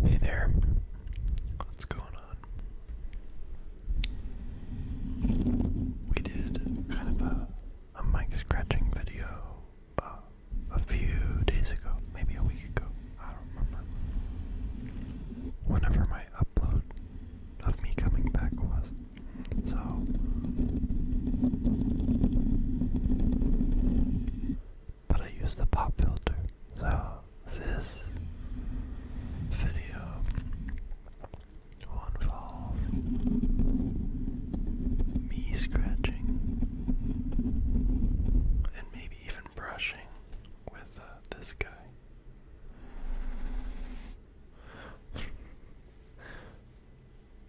Hey there, what's going on? We did kind of a, a mic scratching video uh, a few days ago, maybe a week ago, I don't remember. Whenever my upload of me coming back was. So, but I use the pop filter. So this video will involve me scratching and maybe even brushing with uh, this guy.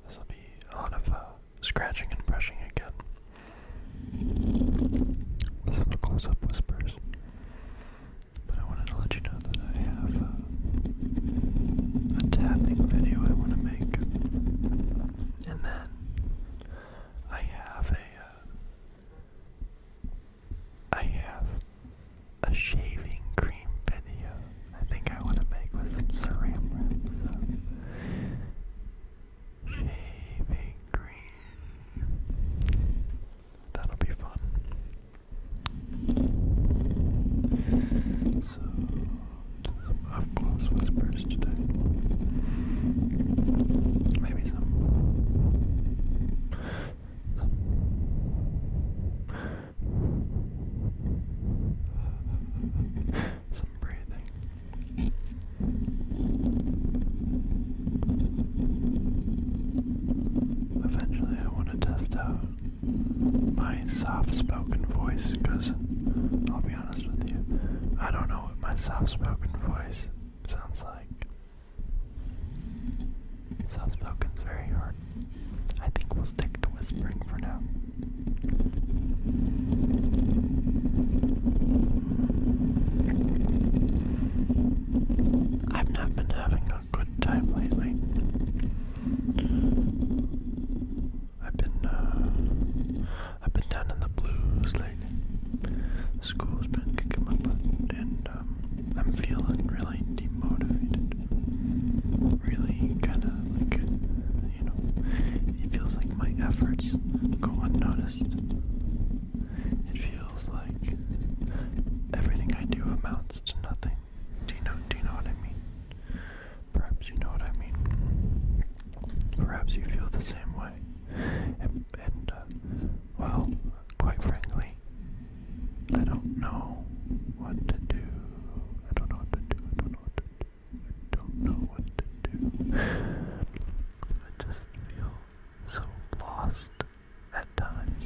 This will be a lot of uh, scratching and brushing again. Some close up whispers. But I wanted to let you know that I have uh, a tapping video I want to make. And then I have a. Uh, have a shaving cream video I think I want to make with some saran wrap. green. That'll be fun. So, some up close whispers today. Maybe some some breathing. Eventually, I want to test out my soft spoken voice because I'll be honest with you, I don't know what my soft spoken voice sounds like. Soft spoken's very hard. I think we'll stick to whispering for now. I've not been having a good time lately. I've been uh, I've been down in the blues lately. School's been kicking my butt, and um, I'm feeling really demotivated. Really kind of like you know, it feels like my efforts go unnoticed. It feels like everything I do amounts to nothing. Do you know do you know what I mean? Perhaps you know what I mean. Perhaps you feel the same way. And, uh, well, quite frankly, I don't know what to do. I don't know what to do. I don't know what to do. I don't know what to do. I just feel so lost at times.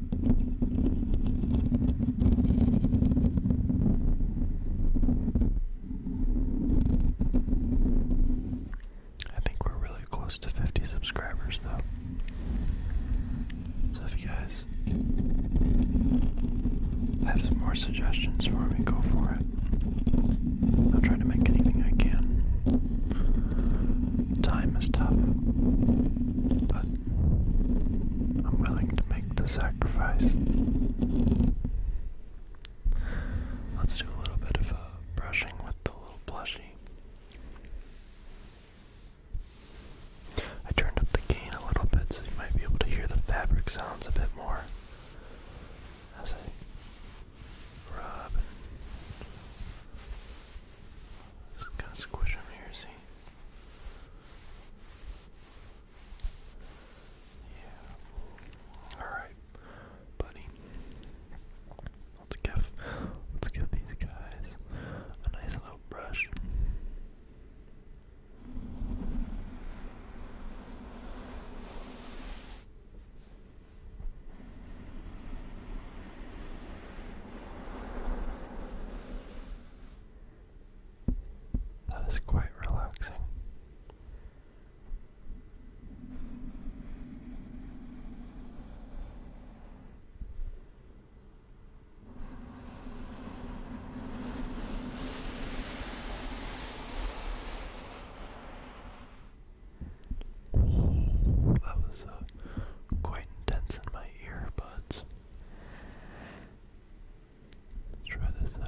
I think we're really close to 50 subscribers, though. So if you guys have some more suggestions for me, go for it. I'll try to make anything I can. Time is tough, but I'm willing to make the sacrifice. Let's do a little bit of uh, brushing with the little plushie. I turned up the gain a little bit so you might be able to hear the fabric sounds a bit more as I rub just kind of squish them here, see? Yeah. Alright, buddy. Let's give let's give these guys a nice little brush. That is quite relaxing. that was uh, quite intense in my earbuds. Let's try this side.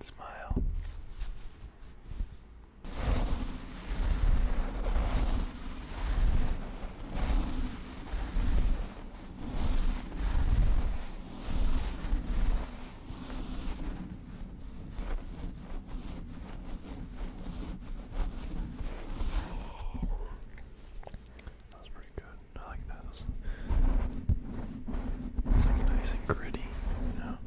Smile. That was pretty good. I like those. It's like nice and gritty, you know?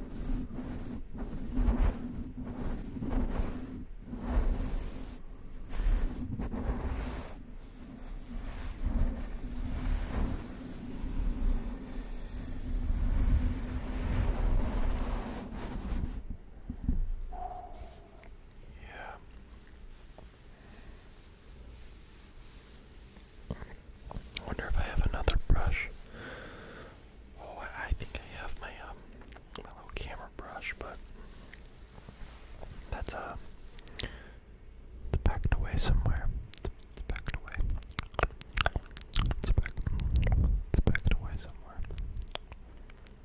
Yeah. wonder if I have another brush. Oh, I think I have my um my little camera brush, but that's uh it's packed away somewhere. It's packed away. It's packed, it's packed away somewhere.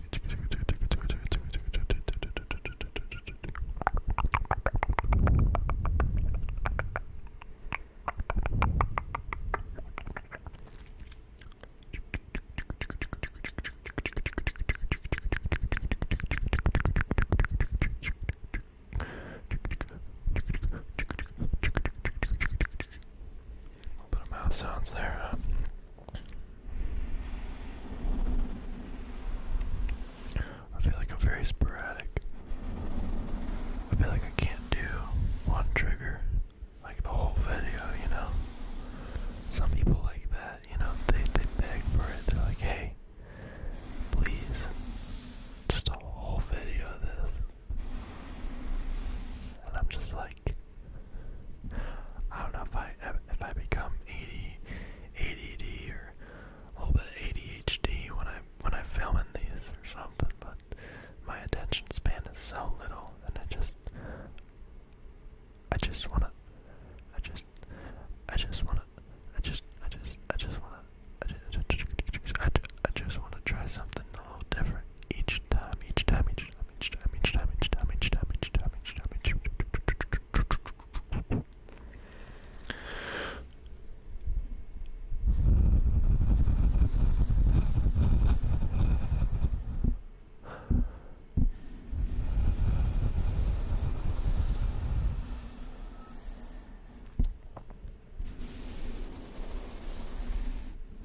A little bit of mouth sounds there. Huh? I feel like I'm very sporadic. I feel like I can't do one trigger, like the whole video, you know? Some people like that, you know? They, they beg for it. They're like, hey, please, just a whole video of this. And I'm just like, I don't know if I if I become AD, ADD or a little bit of ADHD when I when I'm filming these or something, but my attention span is so little, and I just I just wanna I just I just wanna I just I just I just wanna I just I just, I just, I just wanna try something a little different each time each time each Damage, Damage, Damage, Damage, Damage, Damage, Damage.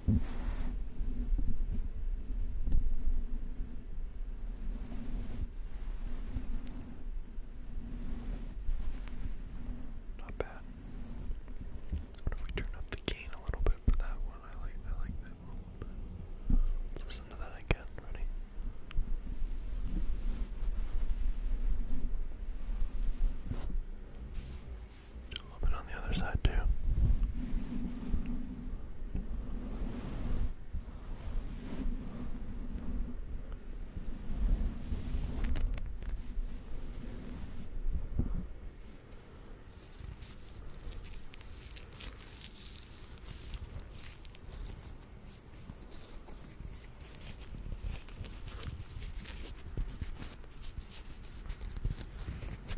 Not bad. What if we turn up the gain a little bit for that one? I like I like that one Let's listen to that again, ready? a little bit on the other side too.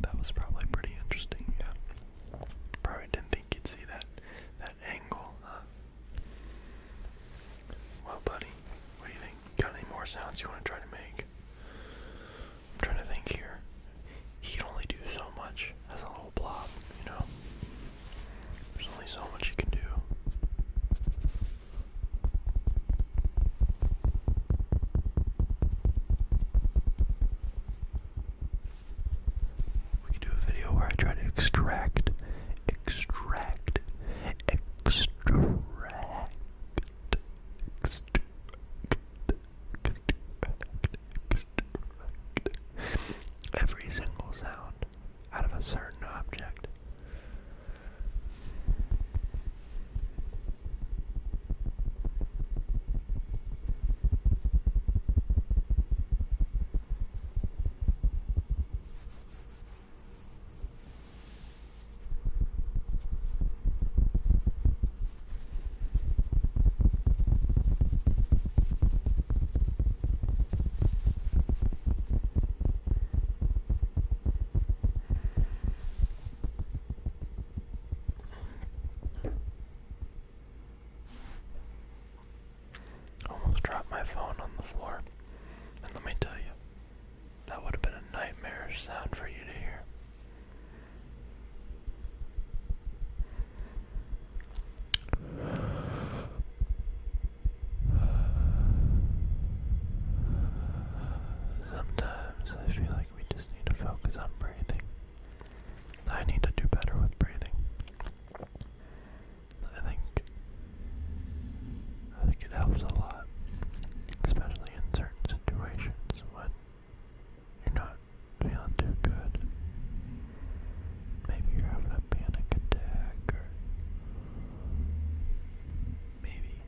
that was probably pretty interesting, yeah. Probably didn't think you'd see that that angle, huh? Well buddy, what do you think? Got any more sounds you want to try to make? I'm trying to think here. He can only do so much as a little blob, you know? There's only so much you can do. We could do a video where I try to extract, extract, extract, extract, every single sound out of a certain object. Almost dropped my phone on the floor. And let me tell you, that would have been a nightmarish sound for you to hear. Sometimes I feel like we just need to focus on breathing. I need to do better with breathing. I think I think it helps a lot, especially in certain situations when you're not feeling too good. Maybe you're having a panic attack, or maybe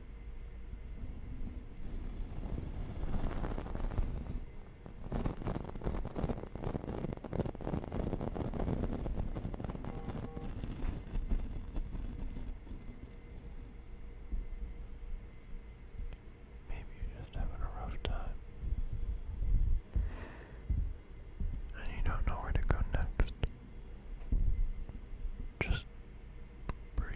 Maybe you're just having a rough time. And you don't know where to go next. Just breathe.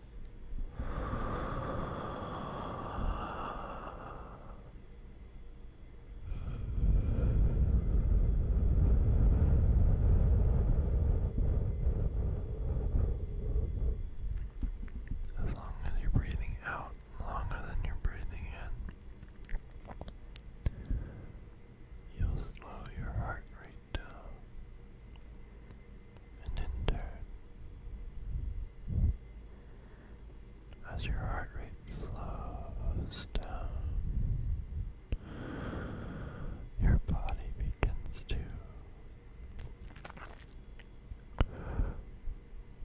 As long as you're breathing out longer than you're breathing in, you'll slow your heart rate down and in turn. As your heart rate slows down, your body begins to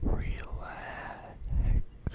relax, relax.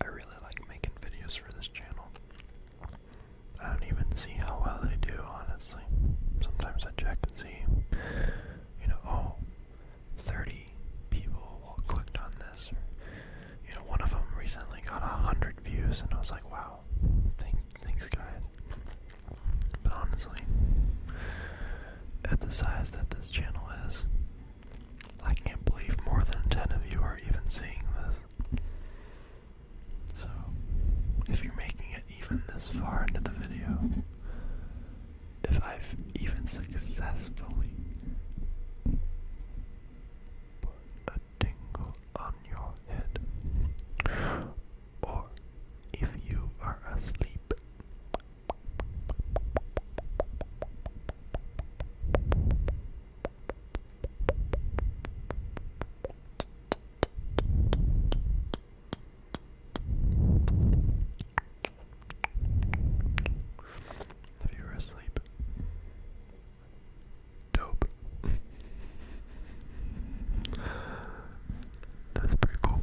I really like making videos for this channel. I don't even see how well they do, honestly. Sometimes I check and see, you know, oh, 30 people clicked on this. you know, one of them recently got 100 views, and I was like, wow, thank, thanks, guys. But honestly, at the size that this channel is, I can't believe more than 10 of you are even seeing this. So, if you're making it even this far into the video, if I've even successfully put a tingle on your head, or if you are asleep if you were asleep, dope. That's pretty cool.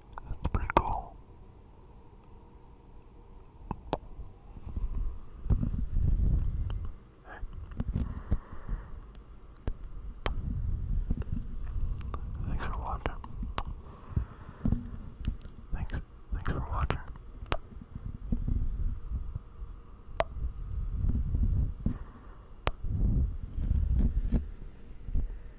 That's pretty cool. Thanks for watching. Thanks, thanks for watching.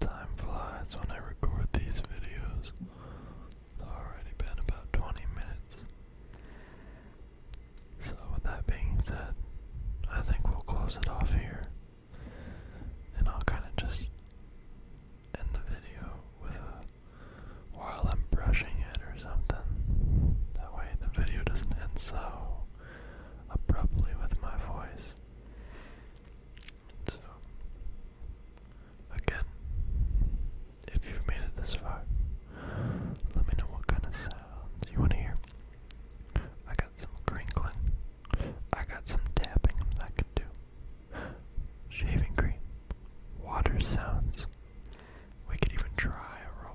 Time flies when I record these videos. It's already been about 20 minutes. So, with that being said, I think we'll close it off here. And I'll kind of just end the video with a. while I'm brushing it something. That way the video doesn't end so abruptly with my voice. So, again, if you've made it this far, let me know what kind of sounds you want to hear. I got some crinkling, I got some tapping I could do, shaving cream, water sounds. We could even try a role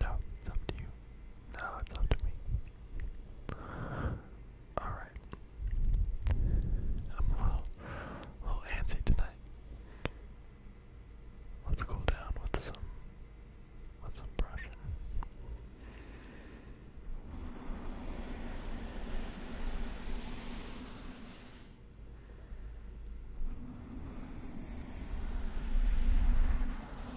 No, it's up to you. No, it's up to me. Alright. I'm a little, a little antsy tonight. Let's cool down with some with some brushing.